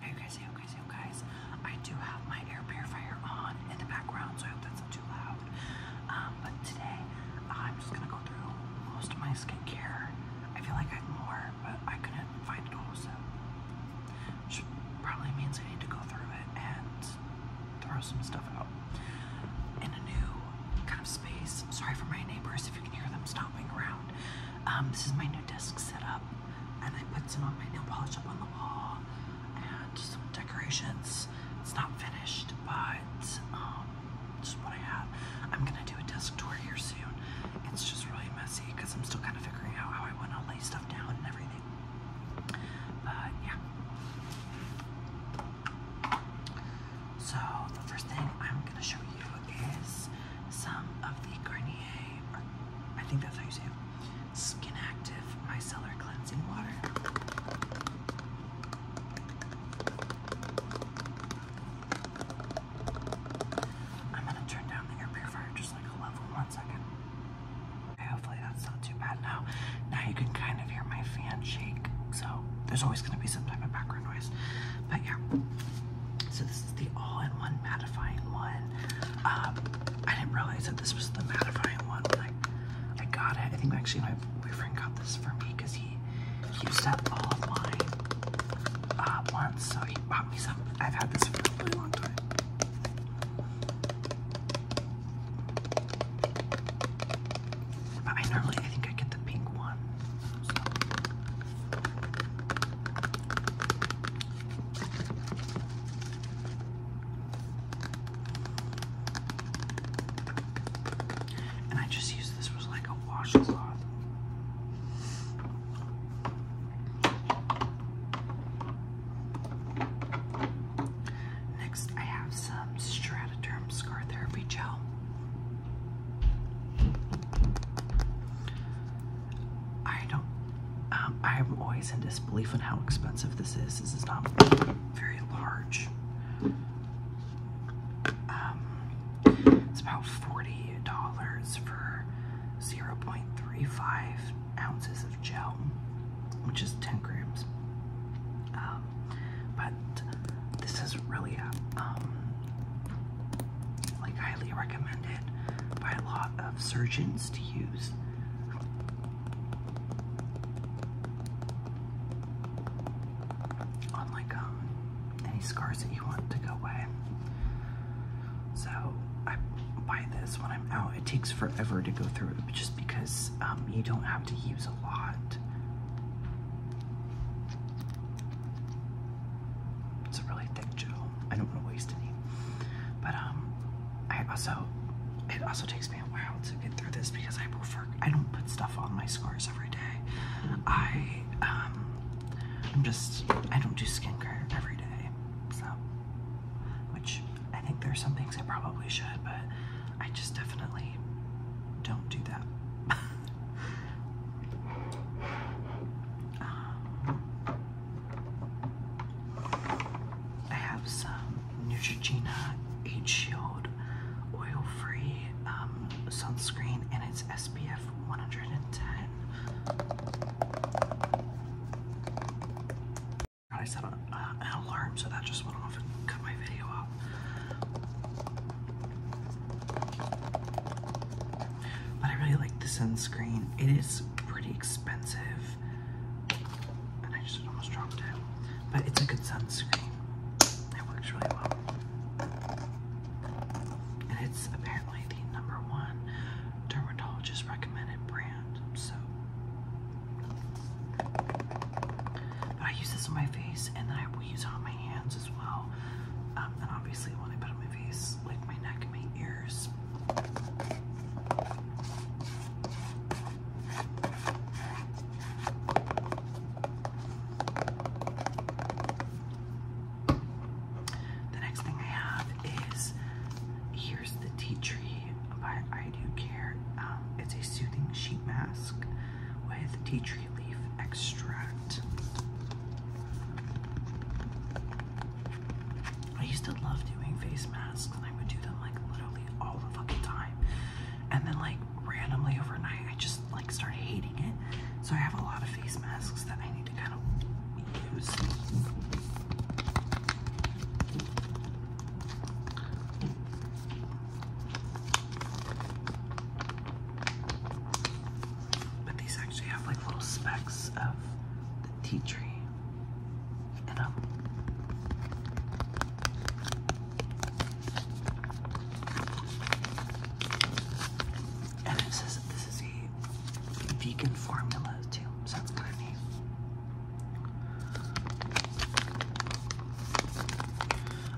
Okay guys, hey guys, hey guys, I do have my air purifier on in the background, so I hope that's not too loud. Um, but today, I'm just gonna go through most of my skincare. I feel like I have more, but I couldn't find it all, so which probably means I need to go through it and throw some stuff out in a new kind of space. Sorry for my neighbors if you can hear them stomping around. Um, this is my new desk setup and I put some of my nail polish up on the wall and some decorations. It's not finished, but um, just what I have. I'm gonna do a desk tour here soon. It's just really messy because I'm still kind of figuring out how I want to lay stuff down and everything. But yeah. So the first thing I'm gonna show you is some of the Garnier, I think that's how you say it, Skin Active Micellar Cleansing Water. I'm gonna turn down the air purifier just like a level one second. hopefully that's not too bad now. Now you can kind of hear my fan shake, so there's always gonna be some type of background noise. But yeah, so this this is the all-in-one mattifying one. Um, I didn't realize that this was the mattifying one when I, got it. I think actually my boyfriend got this for me because he used up all of mine uh, once, so he bought me some. I've had this for a really long time. I normally, I think I get the pink one. And I just used this was like a washcloth. Next, I have some Strataderm Scar Therapy Gel. I don't. Um, I'm always in disbelief on how expensive this is. This is not very large. Um, it's about forty dollars for zero point three five ounces of gel, which is ten grams. Um, but this is really a like highly recommended by a lot of surgeons to use. Unlike um, any scars that you want to go away. So I buy this when I'm out. It takes forever to go through it just because um, you don't have to use a lot. It's a really thick gel. I don't want to waste any. But um, I also it also takes me a while to get through this because I prefer I don't put stuff on my scars every day. I um, I'm just I don't do skincare every day. So, which I think there's some things I probably should, but I just definitely don't do that. Um, I have some Neutrogena Age Shield oil-free um, sunscreen, and it's SPF 110. I set an alarm, so that just went off and cut my video off. But I really like the sunscreen. It is pretty expensive. And I just almost dropped it. But it's a good sunscreen. It works really well. And it's apparently the number one dermatologist recommended brand. So but I use this on my face and then I will use it on my hands as well. Um, and obviously when I put it on my face, like my neck and my ears. The next thing I have is here's the tea tree by I Do Care. Um, it's a soothing sheet mask with tea tree leaf extract. I used to love doing face masks and I would do them like literally all the fucking time. And then like randomly overnight I just like started hating it. So I have a lot of face masks that I need to kind of use. But these actually have like little specks of the tea tree and it says this is a vegan formula too. So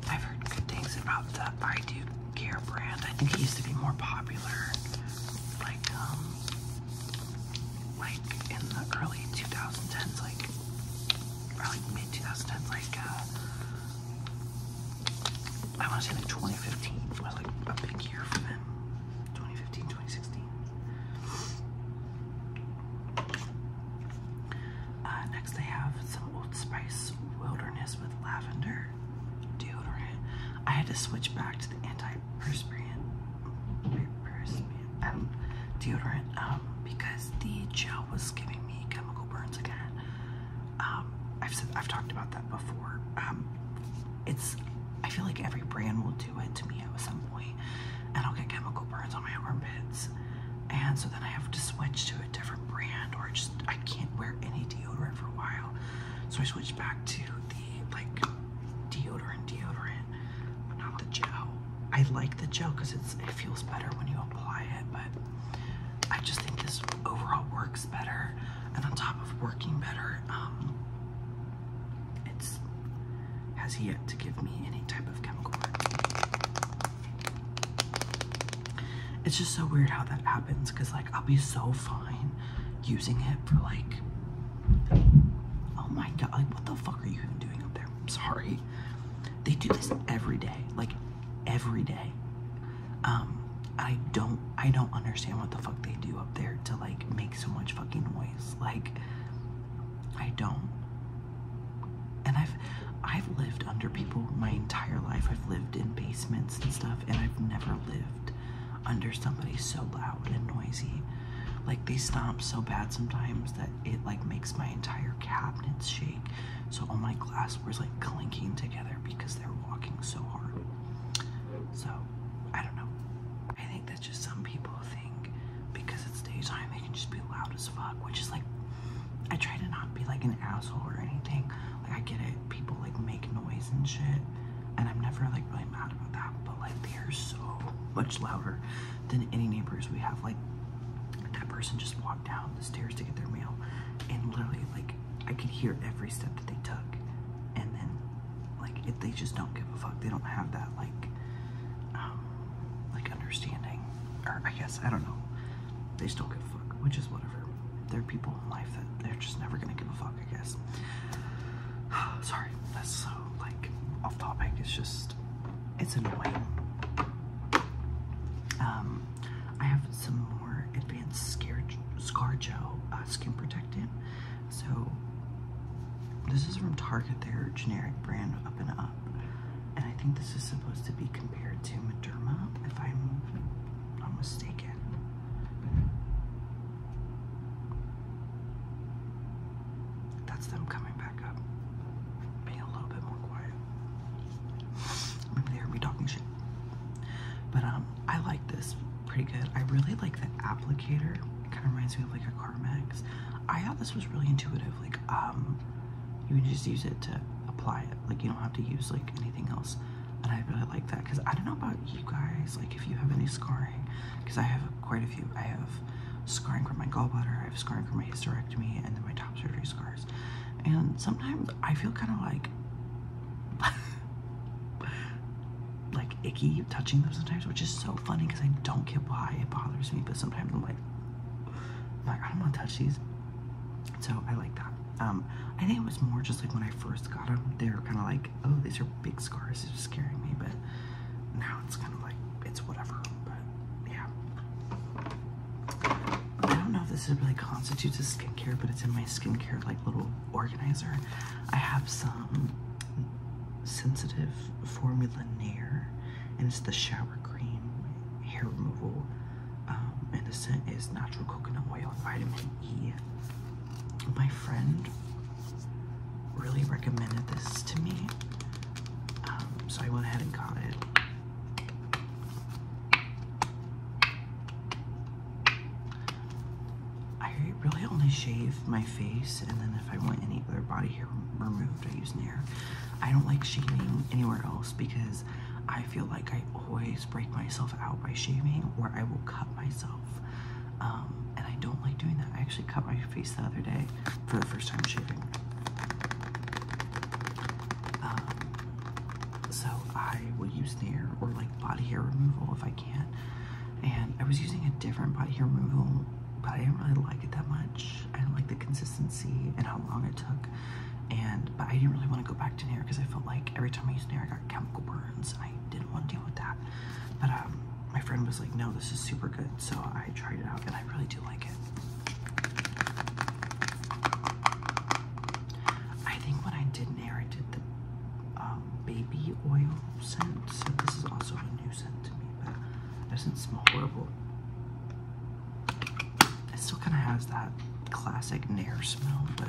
I've heard good things about the I Do Care brand. I think it used to be more popular, like um, like in the early 2010s, like or like mid 2010s, like uh, I want to say like 2015 was like a big year for them. 2015, 2016. Uh, next, they have some Old Spice Wilderness with lavender deodorant. I had to switch back to the anti-perspirant. Um, deodorant. Um, because the gel was giving me chemical burns again. Um, I've said I've talked about that before. Um, it's. I feel like every brand will do it to me at some point, and I'll get chemical burns on my armpits, and so then I have to switch to a different brand, or just I can't wear any deodorant for a while. So I switched back to like deodorant, deodorant, but not the gel. I like the gel because it's it feels better when you apply it, but I just think this overall works better. And on top of working better, um, it's has yet to give me any type of chemical. It's just so weird how that happens because like I'll be so fine using it for like, oh my god, like what the fuck are you even doing up there? I'm sorry. They do this every day, like every day. Um, I don't, I don't understand what the fuck they do up there to like make so much fucking noise. Like, I don't. And I've, I've lived under people my entire life. I've lived in basements and stuff, and I've never lived under somebody so loud and noisy. Like they stomp so bad sometimes that it like makes my entire cabinets shake. So all my glassware's like clinking together because they're walking so hard. So I don't know. I think that's just some people think because it's daytime they can just be loud as fuck, which is like I try to not be like an asshole or anything. Like I get it, people like make noise and shit, and I'm never like really mad about that. But like they are so much louder than any neighbors we have. Like that person just walked down the stairs to get their mail, and literally like I could hear every step that they took. And then like if they just don't give a fuck, they don't have that like um, like understanding, or I guess I don't know. They still don't give a fuck, which is whatever. There are people in life that they're just never gonna give a fuck. I guess. Sorry, that's so like off topic. It's just it's annoying. Um, I have some more advanced scar ScarJo uh, skin protectant. So this is from Target, their generic brand Up and Up, and I think this is supposed to be compared to Mederma, if I'm not mistaken. That's them coming back up, being a little bit more quiet. Maybe they heard me talking shit. But um, I like this pretty good. I really like the applicator. It kind of reminds me of like a Carmex. I thought this was really intuitive. Like um, you can just use it to apply it. Like you don't have to use like anything else. And I really like that because I don't know about you guys. Like if you have any scarring, because I have quite a few. I have scarring from my gallbladder, I have scarring from my hysterectomy, and then my top surgery scars. And sometimes I feel kind of like, like icky touching them sometimes, which is so funny because I don't get why it bothers me, but sometimes I'm like, I'm like I do not want to touch these. So I like that. Um, I think it was more just like when I first got them, they were kind of like oh, these are big scars. It's scaring me, but now it's kind of like, it's whatever. But yeah. I don't know if this really constitutes a skincare, but it's in my skincare like little organizer. I have some sensitive formula Nair, and it's the shower cream, hair removal, um, and the scent is natural coconut oil, and vitamin E my friend really recommended this to me, um, so I went ahead and got it. I really only shave my face, and then if I want any other body hair removed, I use an Nair. I don't like shaving anywhere else because I feel like I always break myself out by shaving, or I will cut myself. Um, and I don't like doing that. I actually cut my face the other day for the first time shaving. Um, so I will use Nair or like body hair removal if I can. And I was using a different body hair removal, but I didn't really like it that much. I didn't like the consistency and how long it took. And but I didn't really want to go back to Nair because I felt like every time I used Nair, I got chemical burns, I didn't want to deal with that. But um, my friend was like, no, this is super good. So I tried it out and I really do like it. I think when I didn't I did the um, baby oil scent. So this is also a new scent to me, it doesn't smell horrible. It still kind of has that classic Nair smell, but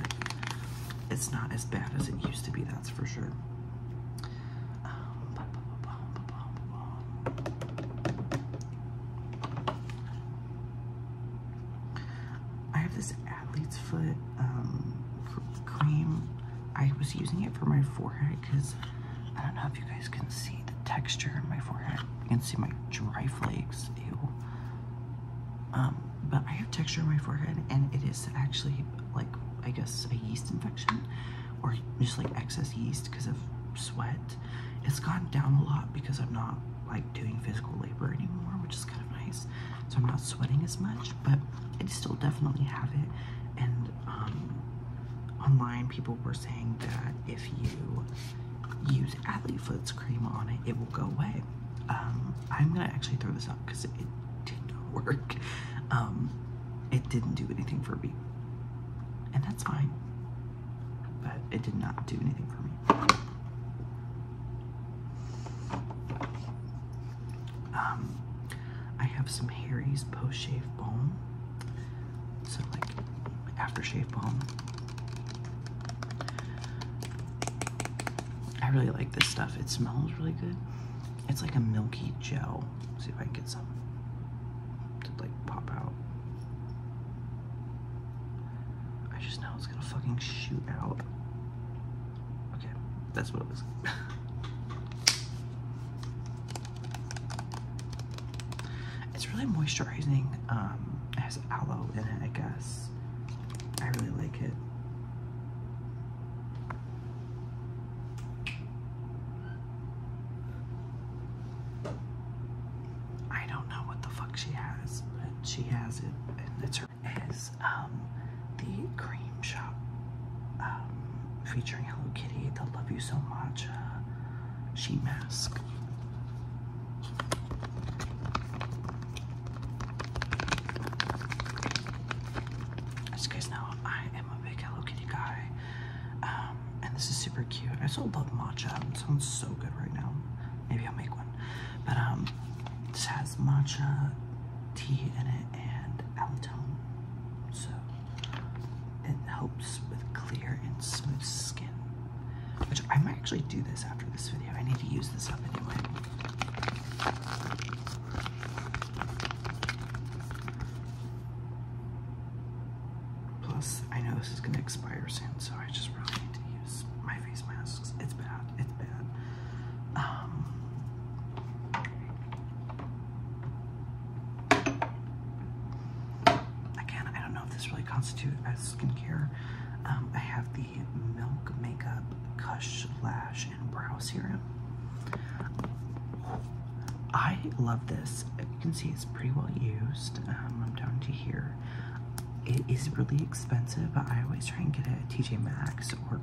it's not as bad as it used to be. That's that's for sure. I have this athlete's foot um, cream. I was using it for my forehead because I don't know if you guys can see the texture in my forehead. You can see my dry flakes. Ew. Um, but I have texture in my forehead, and it is actually like I guess a yeast infection or just like excess yeast because of sweat. It's gone down a lot because I'm not like doing physical labor anymore, which is kind of nice. So I'm not sweating as much, but I still definitely have it. And um, online, people were saying that if you use Atlee Foots cream on it, it will go away. Um, I'm gonna actually throw this up because it did not work. Um, it didn't do anything for me. And that's fine. But it did not do anything for me. Um, I have some Harry's Post Shave Balm. So, like, after-shave balm. I really like this stuff. It smells really good. It's like a milky gel. see if I can get some to like pop out. I just know it's gonna fucking shoot out. Okay, that's what it was. it's really moisturizing. Um, it has aloe in it, I guess. I really like it. I don't know what the fuck she has, but she has it, and it's her. Is um the cream shop um featuring Hello Kitty, the Love You So Much uh, she mask. As guys know, am a big Hello Kitty guy. Um, and this is super cute. I still love matcha. It sounds so good right now. Maybe I'll make one. But um, this has matcha tea in it and allantoin. So it helps with clear and smooth skin. Which I might actually do this after this video. I need to use this up anyway. Plus, I know this is gonna expire soon, so I just really need to use my face masks. It's bad, it's bad. Um, again, I don't know if this really constitutes as skincare. Um, I have the Milk Makeup Cush Lash and Brow Serum. I love this. You can see it's pretty well used. Um, I'm down to here. It is really expensive, I always try and get it at TJ Maxx or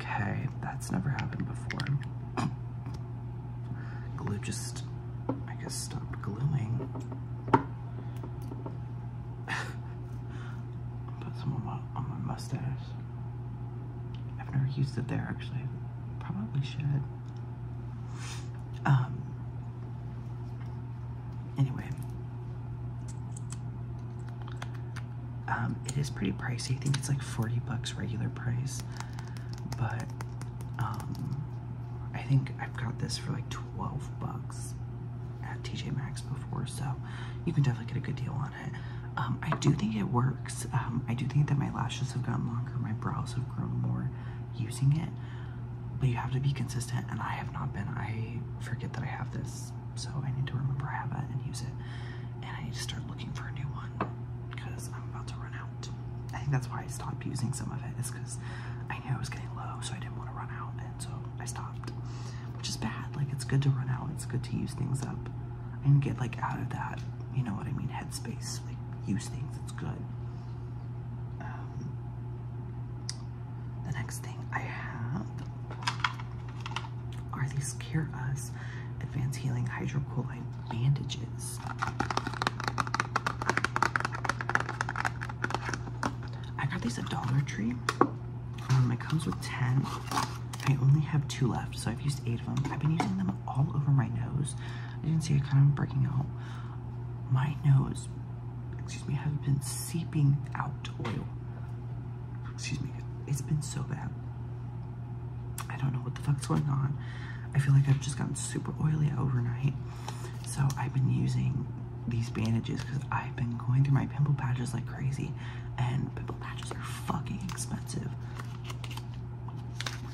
Okay, that's never happened before. Glue just, I guess, stop gluing. Put some on my, on my mustache. I've never used it there actually. Probably should. Um. Anyway. Um, it is pretty pricey. I think it's like 40 bucks regular price. But um I think I've got this for like 12 bucks at TJ Maxx before, so you can definitely get a good deal on it. Um, I do think it works. Um, I do think that my lashes have gotten longer, my brows have grown more using it, but you have to be consistent, and I have not been. I forget that I have this, so I need to remember I have it and use it, and I need to start looking for a new one because I'm about to run out. I think that's why I stopped using some of it, is because I knew I was getting low, so I didn't want to run out so I stopped, which is bad. Like, it's good to run out, it's good to use things up and get like out of that, you know what I mean, headspace. Like, use things, it's good. Um, the next thing I have are these Care Us Advanced Healing Hydrocolloid Bandages. I got these at Dollar Tree. Um, it comes with 10. I only have two left, so I've used eight of them. I've been using them all over my nose. I didn't see it kind of breaking out. My nose, excuse me, has been seeping out oil. Excuse me, it's been so bad. I don't know what the fuck's going on. I feel like I've just gotten super oily overnight. So I've been using these bandages because I've been going through my pimple patches like crazy, and pimple patches are fucking expensive.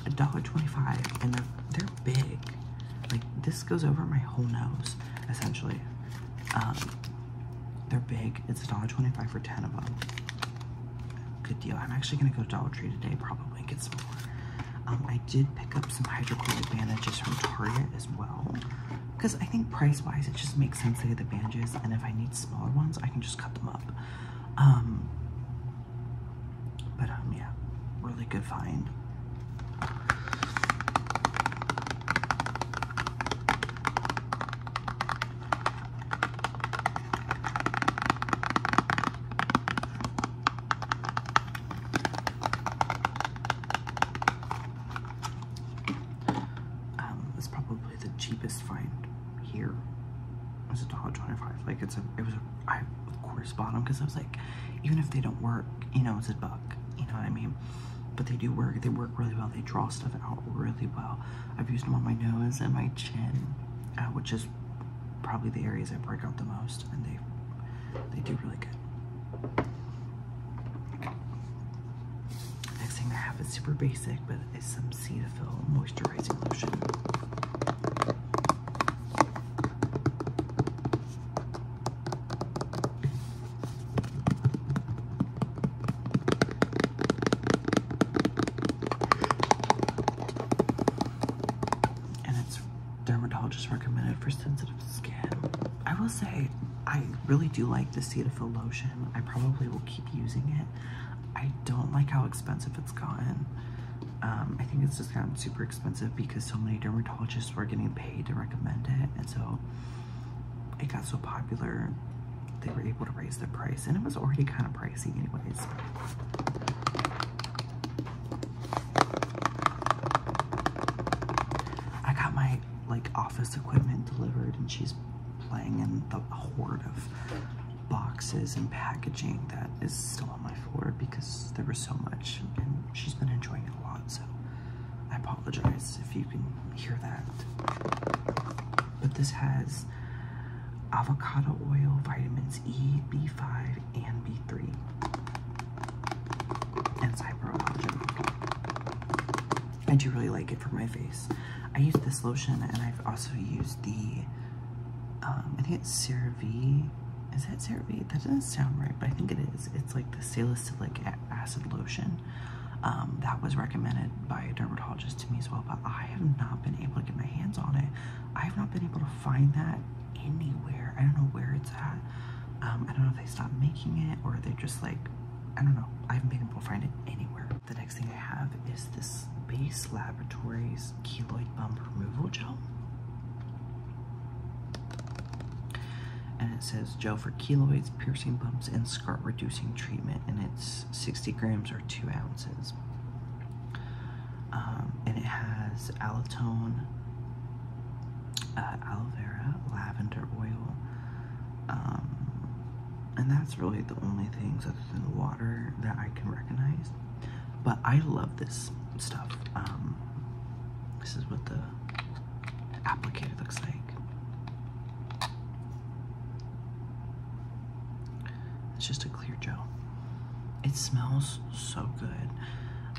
$1.25 and they're, they're big. Like this goes over my whole nose, essentially. Um, they're big. It's $1.25 for 10 of them. Good deal. I'm actually gonna go to Dollar Tree today probably and get some more. Um, I did pick up some hydrocoated bandages from Target as well because I think price wise it just makes sense to get the bandages and if I need smaller ones I can just cut them up um but um yeah really good find um, it's probably the cheapest find here. It was a dollar twenty-five. Like it's a, it was a, I of course bought them because I was like, even if they don't work, you know, it's a buck. You know what I mean? But they do work. They work really well. They draw stuff out really well. I've used them on my nose and my chin, uh, which is probably the areas I break out the most, and they they do really good. Next thing I have is super basic, but it's some Cetaphil moisturizing lotion. And it's dermatologist recommended for sensitive skin. I will say I really do like the Cetaphil lotion. I probably will keep using it. I don't like how expensive it's gotten. Um, I think it's just gotten super expensive because so many dermatologists were getting paid to recommend it. And so it got so popular, they were able to raise the price. And it was already kind of pricey anyways. I got my like office equipment delivered and she's playing in the horde of boxes and packaging that is still on my floor because there was so much and she's been enjoying it a lot so I apologize if you can hear that. But this has avocado oil, vitamins E, B5, and B3, and cyberallergen. I do really like it for my face. I use this lotion and I've also used the, um, I think it's CeraVe. Is that CeraVe? That doesn't sound right, but I think it is. It's like the salicylic acid lotion. Um, that was recommended by a dermatologist to me as well, but I have not been able to get my hands on it. I have not been able to find that anywhere. I don't know where it's at. Um, I don't know if they stopped making it or they're just like I don't know. I haven't been able to find it anywhere. The next thing I have is this Base Laboratories Keloid Bump Removal Gel. And it says gel for keloids, piercing bumps, and scar reducing treatment. And it's 60 grams or 2 ounces. Um, and it has alotone, uh, aloe vera, lavender oil, um, and that's really the only things other than water that I can recognize. But I love this stuff. Um, this is what the applicator looks like. It's just a clear gel. It smells so good.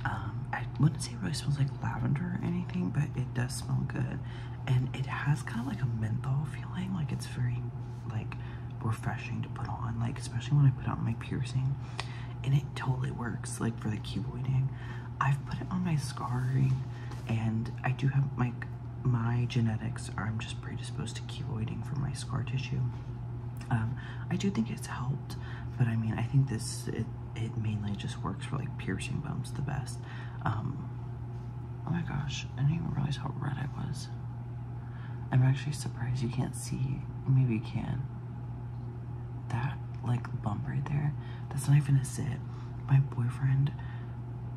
Um, I wouldn't say it really smells like lavender or anything, but it does smell good and it has kind of like a menthol feeling like it's very like refreshing to put on like especially when I put on my piercing and it totally works like for the cuboiding I've put it on my scarring and I do have my my genetics are I'm just predisposed to keloiding for my scar tissue um, I do think it's helped but I mean I think this it, it mainly just works for like piercing bumps the best um, oh my gosh, I didn't even realize how red I was. I'm actually surprised you can't see. Maybe you can. That like bump right there, that's not even a zit. My boyfriend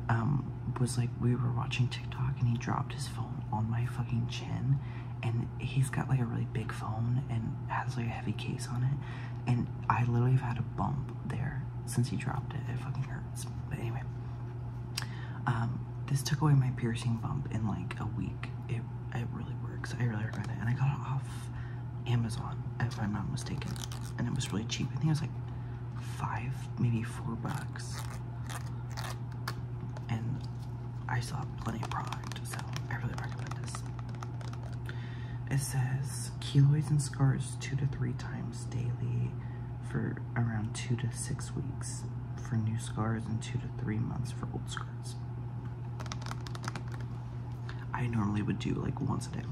um, was like, we were watching TikTok and he dropped his phone on my fucking chin. And he's got like a really big phone and has like a heavy case on it. And I literally have had a bump there since he dropped it. It fucking hurts. But anyway, um, this took away my piercing bump in like a week. It it really works. I really recommend it. And I got it off Amazon, if I'm not mistaken. And it was really cheap. I think it was like five, maybe four bucks. And I saw plenty of product, so I really recommend this. It says keloids and scars two to three times daily for around two to six weeks for new scars and two to three months for old scars. I normally would do like once a day,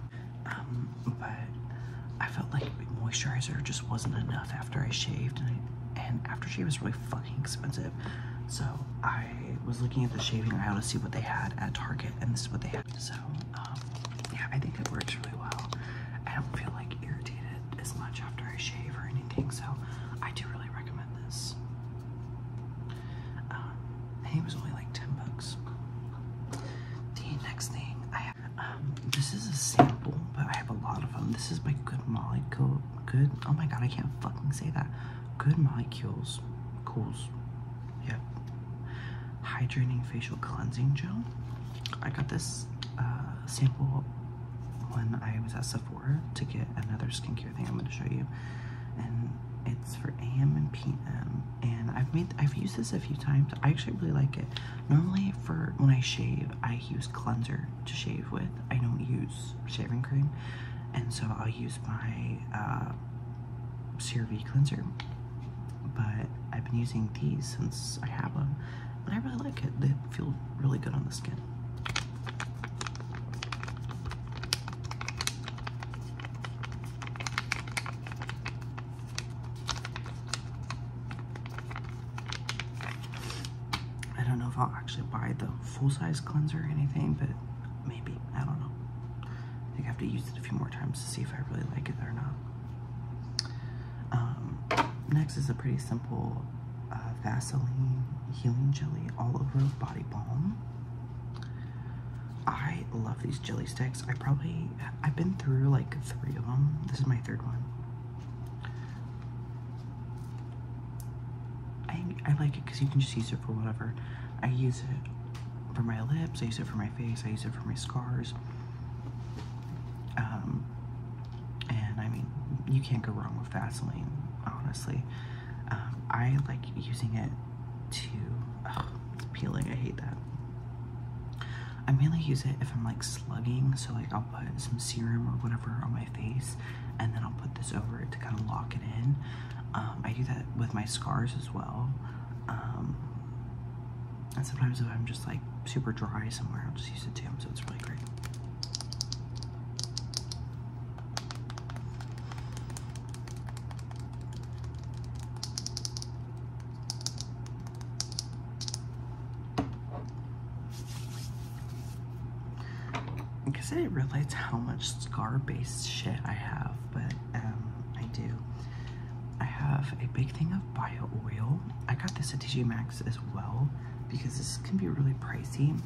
um, but I felt like moisturizer just wasn't enough after I shaved, and, I, and aftershave is really fucking expensive. So I was looking at the shaving aisle to see what they had at Target, and this is what they had. So um, yeah, I think it works really well. I don't feel like irritated as much after I shave or anything, so I do really recommend this. Um, it was only like 10 bucks. The next thing I have, um, this is a sample, but I have a lot of them. This is my Good Molecule, Good, oh my god, I can't fucking say that. Good Molecules, Cool. yep hydrating facial cleansing gel. I got this uh, sample when I was at Sephora to get another skincare thing I'm going to show you. And it's for AM and PM. And I've made I've used this a few times. I actually really like it. Normally for when I shave, I use cleanser to shave with. I don't use shaving cream. And so I'll use my uh, uh, cleanser, but I've been using these since I have them, and I really like it. They feel really good on the skin. I don't know if I'll actually buy the full-size cleanser or anything, but maybe. I don't know. I think I have to use it a few more times to see if I really like it or not. Um, next is a pretty simple uh, Vaseline Healing Jelly All Over Body Balm. I love these jelly sticks. I probably, I've been through like three of them. This is my third one. I, I like it because you can just use it for whatever. I use it for my lips, I use it for my face, I use it for my scars. Um, and I mean, you can't go wrong with Vaseline, honestly. Um, I like using it to, it's peeling, I hate that. I mainly use it if I'm like slugging, so like I'll put some serum or whatever on my face, and then I'll put this over it to kind of lock it in. Um, I do that with my scars as well. Um, and sometimes if I'm just like super dry somewhere, I'll just use it too, so it's really great. Because I didn't realize how much scar-based shit I have, but um, I do. I have a big thing of bio oil. I got this at Digimax as well because this can be really pricey.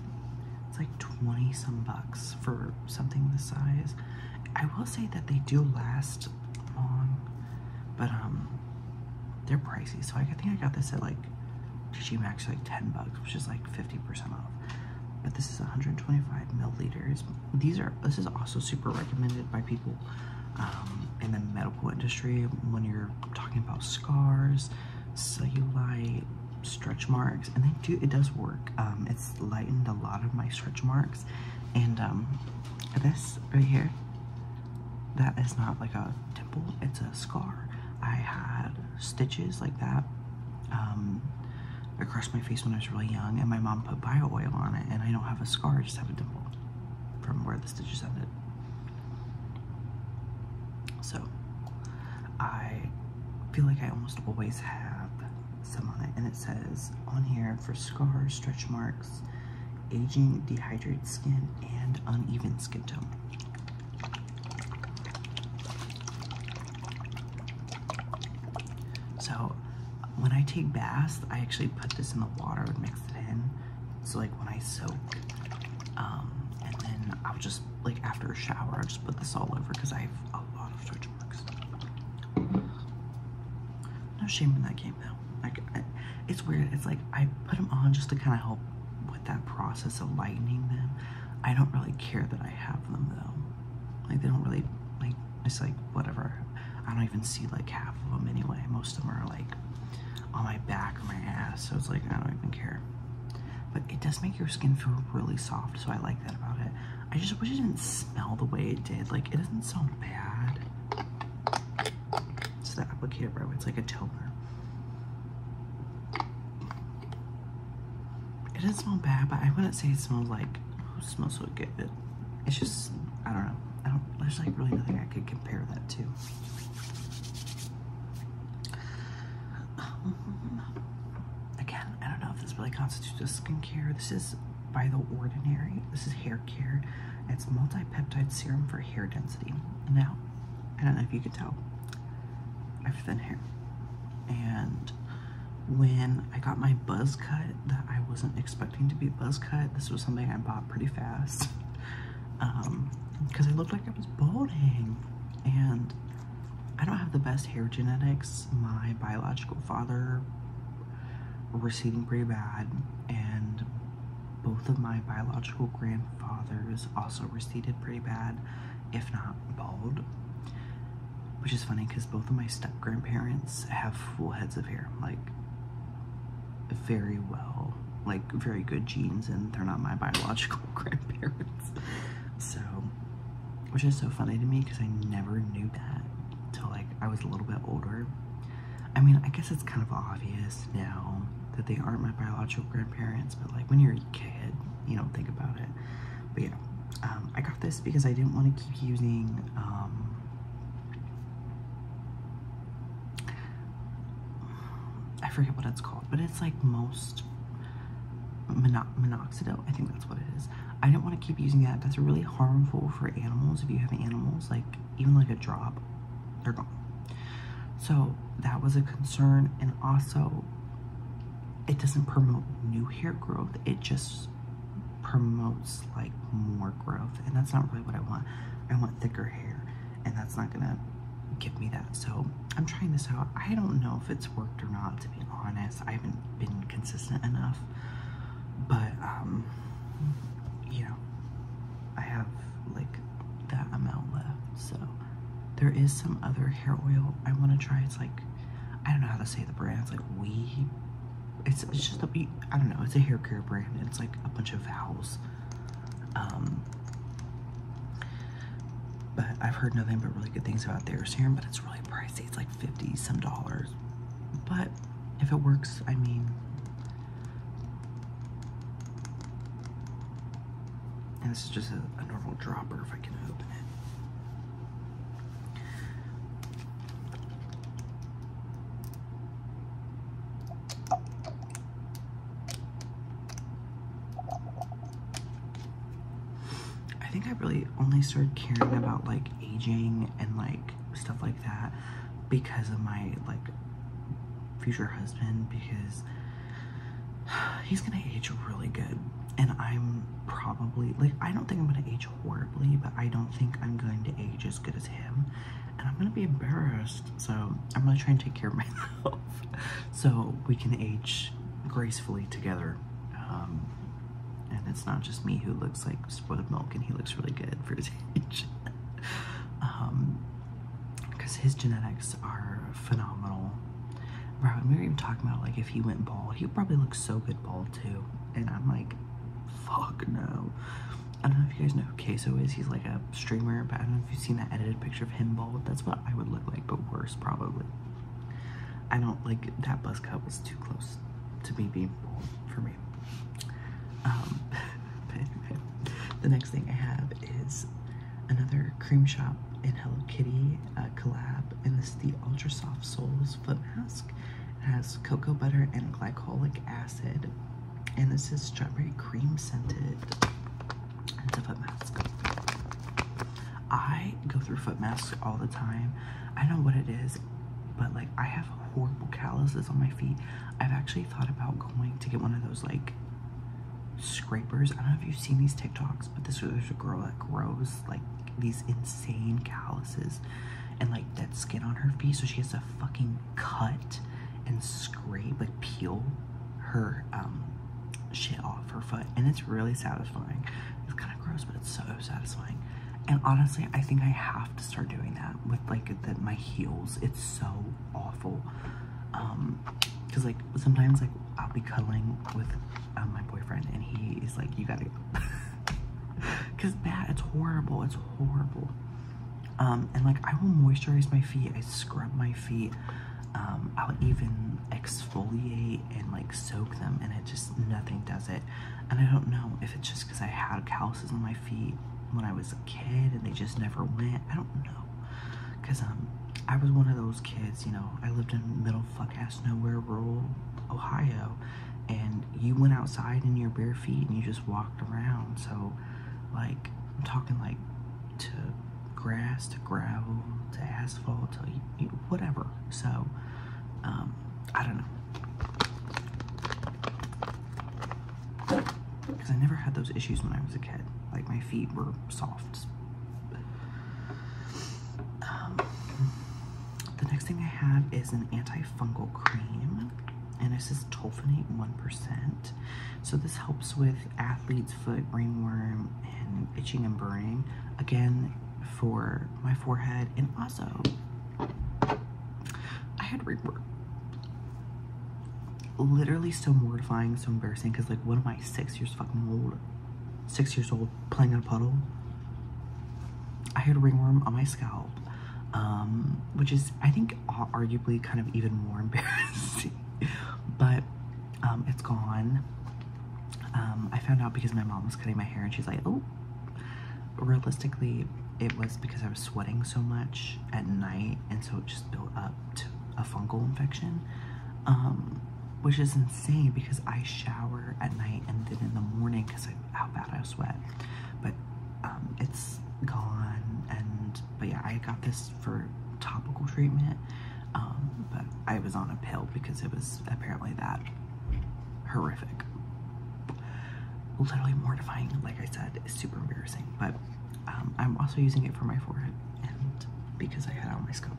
It's like 20 some bucks for something this size. I will say that they do last long, but um, they're pricey. So I think I got this at like Digimax like 10 bucks, which is like 50% off. But this is 125 milliliters these are this is also super recommended by people um, in the medical industry when you're talking about scars, cellulite, stretch marks, and they do it does work. Um, it's lightened a lot of my stretch marks, and um, this right here, that is not like a dimple; it's a scar. I had stitches like that across my face when I was really young, and my mom put bio oil on it, and I don't have a scar; I just have a dimple from where the stitches ended. So I feel like I almost always have some on it. And it says on here for scars, stretch marks, aging, dehydrated skin, and uneven skin tone. So when I take baths, I actually put this in the water and mix it in. So like when I soak, um, and then I'll just like after a shower, i just put this all over because I have a lot of stretch marks. No shame in that game though. Like it's weird. It's like I put them on just to kind of help with that process of lightening them. I don't really care that I have them though. Like they don't really like it's like whatever. I don't even see like half of them anyway. Most of them are like on my back or my ass, so it's like I don't even care. But it does make your skin feel really soft, so I like that about it. I just wish it didn't smell the way it did. Like it doesn't smell bad. It's the applicator, bro. It's like a toner. It doesn't smell bad, but I wouldn't say it smells like. it smells so good it's just I don't know. there's like really nothing I could compare that to. again, I don't know if this really constitutes skincare. This is by The Ordinary. This is hair care. It's multi-peptide serum for hair density. Now, I don't know if you could tell, I have thin hair. And when I got my buzz cut, that I wasn't expecting to be buzz cut. This was something I bought pretty fast because um, I looked like I was balding. And I don't have the best hair genetics. My biological father receding pretty bad and both of my biological grandfathers also receded pretty bad, if not bald. Which is funny because both of my step grandparents have full heads of hair. Like, very well, like very good genes and they're not my biological grandparents. So, which is so funny to me because I never knew that until like I was a little bit older. I mean, I guess it's kind of obvious now that they aren't my biological grandparents, but like when you're a kid, you don't think about it. But yeah, um, I got this because I didn't want to keep using um, I forget what it's called, but it's like most mono minoxidil. I think that's what it is. I do not want to keep using that. That's really harmful for animals. If you have animals, like even like a drop, they're gone. So that was a concern. And also, it doesn't promote new hair growth. It just promotes like more growth and that's not really what I want. I want thicker hair and that's not gonna give me that. So I'm trying this out. I don't know if it's worked or not to be honest. I haven't been consistent enough but um you know I have like that amount left so there is some other hair oil I want to try. It's like I don't know how to say the brand. It's like we it's, it's just I I don't know it's a hair care brand it's like a bunch of vowels um but I've heard nothing but really good things about their serum but it's really pricey it's like 50 some dollars but if it works I mean and this is just a normal dropper if I can open it I think I really only started caring about like aging and like stuff like that because of my like future husband because he's gonna age really good and I'm probably like I don't think I'm gonna age horribly but I don't think I'm going to age as good as him and I'm gonna be embarrassed. So I'm gonna try and take care of myself so we can age gracefully together. Um, and it's not just me who looks like spoiled milk and he looks really good for his age. because um, his genetics are phenomenal. Right? we were even talking about like if he went bald, he would probably look so good bald too. And I'm like, fuck no. I don't know if you guys know who Queso is. He's like a streamer, but I don't know if you've seen that edited picture of him bald. That's what I would look like, but worse probably. I don't like that buzz cut was too close to me being bald for me. Um, the next thing I have is another cream shop and Hello Kitty collab, and this is the Ultra Soft Souls foot mask. It has cocoa butter and glycolic acid and this is strawberry cream scented foot mask i go through foot masks all the time i know what it is but like i have horrible calluses on my feet i've actually thought about going to get one of those like scrapers i don't know if you've seen these tiktoks but this there's a girl that grows like these insane calluses and like dead skin on her feet so she has to fucking cut and scrape, like peel her um, shit off her foot. And it's really satisfying. It's kind of gross, but it's so satisfying. And honestly, I think I have to start doing that with like my heels. It's so awful. Um, cause like sometimes like I'll be cuddling with um, my boyfriend and he is like, you gotta, cause man, it's horrible, it's horrible. Um, and like I will moisturize my feet, I scrub my feet, um, I'll even exfoliate and like soak them, and it just nothing does it. And I don't know if it's just because I had calluses on my feet when I was a kid and they just never went. I don't know because um, I was one of those kids, you know, I lived in middle fuck ass nowhere rural Ohio and you went outside in your bare feet and you just walked around. So like, I'm talking like to grass, to gravel, to asphalt, to whatever. So, um, I don't know. Because I never had those issues when I was a kid. Like, my feet were soft. Um, the next thing I have is an antifungal cream and this is tolfenate 1%. So this helps with athlete's foot, ringworm, and itching and burning. Again, for my forehead, and also I had ringworm. Literally so mortifying, so embarrassing, because like what am I, six years fucking old? Six years old, playing in a puddle? I had ringworm on my scalp, um, which is, I think, arguably kind of even more embarrassing. but um, it's gone. Um, I found out because my mom was cutting my hair and she's like, oh, realistically, it was because I was sweating so much at night and so it just built up to a fungal infection. Um, which is insane because I shower at night and then in the morning because how bad I sweat. But um, it's gone. And but yeah, I got this for topical treatment, um, but I was on a pill because it was apparently that horrific. Literally mortifying, like I said, super embarrassing. But um, I'm also using it for my forehead and because I had it on my scalp.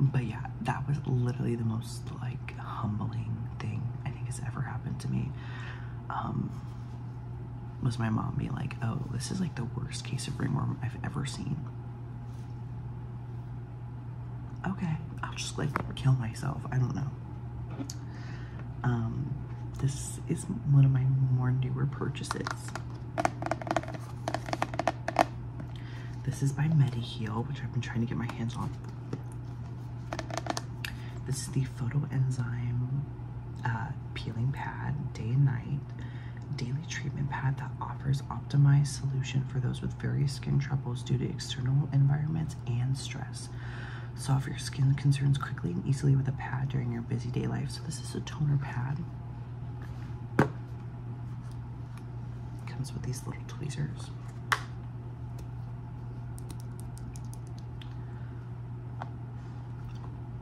But yeah, that was literally the most like humbling thing I think has ever happened to me. Um, was my mom be like, oh, this is like the worst case of ringworm I've ever seen. Okay, I'll just like kill myself. I don't know. Um, this is one of my more newer purchases. This is by Mediheal, which I've been trying to get my hands on this is the photo enzyme uh, Peeling Pad, day and night. Daily treatment pad that offers optimized solution for those with various skin troubles due to external environments and stress. Solve your skin concerns quickly and easily with a pad during your busy day life. So this is a toner pad. Comes with these little tweezers.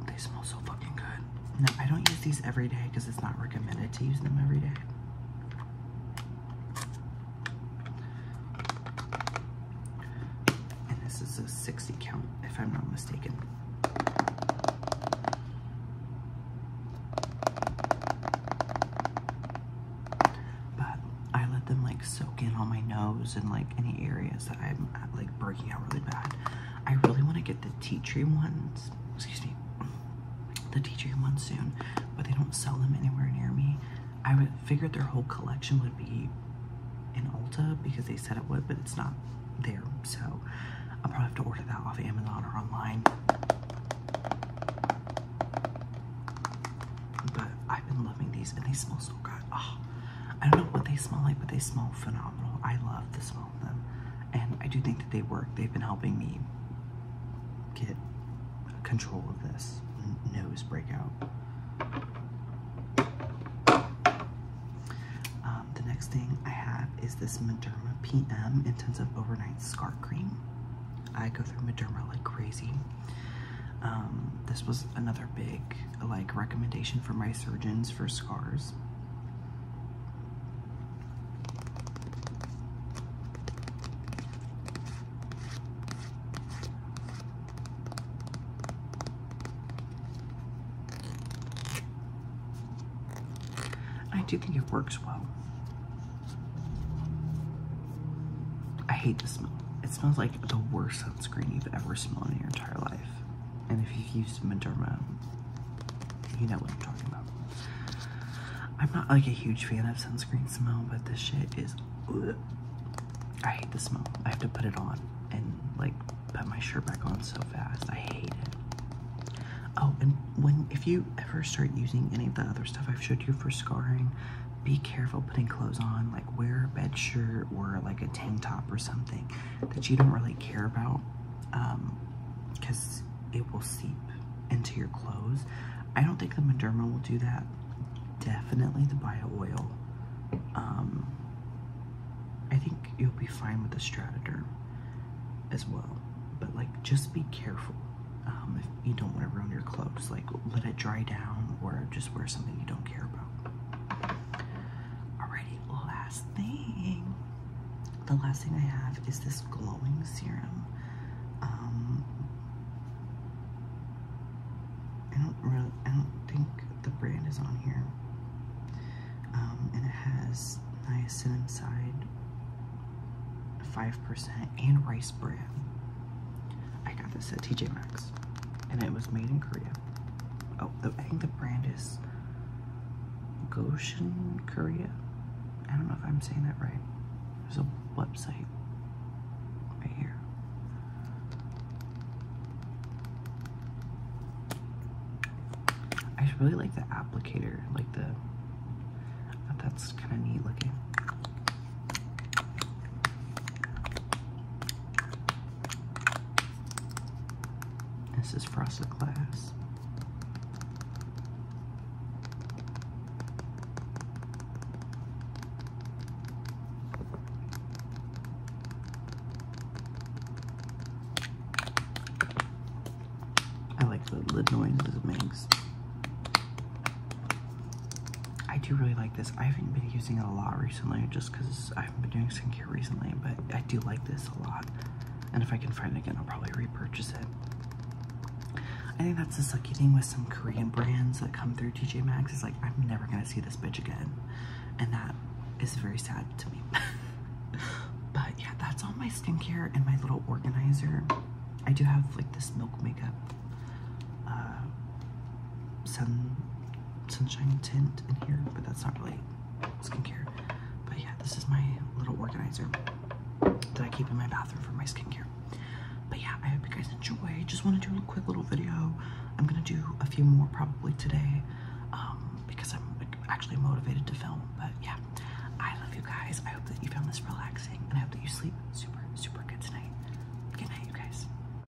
They smell so fucking good. No, I don't use these every day because it's not recommended to use them every day. And this is a 60 count, if I'm not mistaken. But I let them like soak in on my nose and like any areas that I'm like breaking out really bad. I really want to get the tea tree ones, excuse me, the tea tree ones soon, but they don't sell them anywhere near me. I would figured their whole collection would be in Ulta because they said it would, but it's not there. So I'll probably have to order that off Amazon or online. But I've been loving these and they smell so so good. Ah, I don't know what they smell like, but they smell phenomenal. I love the smell of them. And I do think that they work. They've been helping me get control of this nose breakout. Um, the next thing I have is this Mederma PM Intensive Overnight Scar Cream. I go through Mederma like crazy. Um, this was another big like recommendation for my surgeons for scars. I do think it works well. I hate the smell. It smells like the worst sunscreen you've ever smelled in your entire life. And if you've used Mederma, you know what I'm talking about. I'm not like a huge fan of sunscreen smell, but this shit is. I hate the smell. I have to put it on and like put my shirt back on so fast. I hate it. Oh, and when if you ever start using any of the other stuff I've showed you for scarring, be careful putting clothes on, like wear a bed shirt or like a tank top or something that you don't really care about because um, it will seep into your clothes. I don't think the Mederma will do that. Definitely the bio oil. Um, I think you'll be fine with the Strataderm as well. But like, just be careful um, if you don't want to ruin your clothes. Like, let it dry down or just wear something you don't care about. Alrighty, last thing. The last thing I have is this glowing serum. Um, I don't really, I don't think the brand is on here. Um, and it has niacinamide, five percent, and rice bran. I got this at TJ Maxx, and it was made in Korea oh, I think the brand is Goshen, Korea. I don't know if I'm saying that right. There's a website right here. I really like the applicator, like the, oh, that's kind of neat looking. This is frosted glass. I like the, the noise it makes. I do really like this. I haven't been using it a lot recently just because I have been doing skincare recently, but I do like this a lot. And if I can find it again, I'll probably repurchase it. I think that's the sucky thing with some Korean brands that come through TJ Maxx is like, I'm never gonna see this bitch again. And that is very sad to me. but yeah, that's all my skincare and my little organizer. I do have like this milk makeup uh, some sunshine tint in here, but that's not really skincare. But yeah, this is my little organizer that I keep in my bathroom for my skincare. But yeah, I hope you guys enjoy. Just want to do a quick little video. I'm gonna do a few more probably today um, because I'm actually motivated to film. But yeah, I love you guys. I hope that you found this relaxing and I hope that you sleep super, super good tonight. Good night, you guys.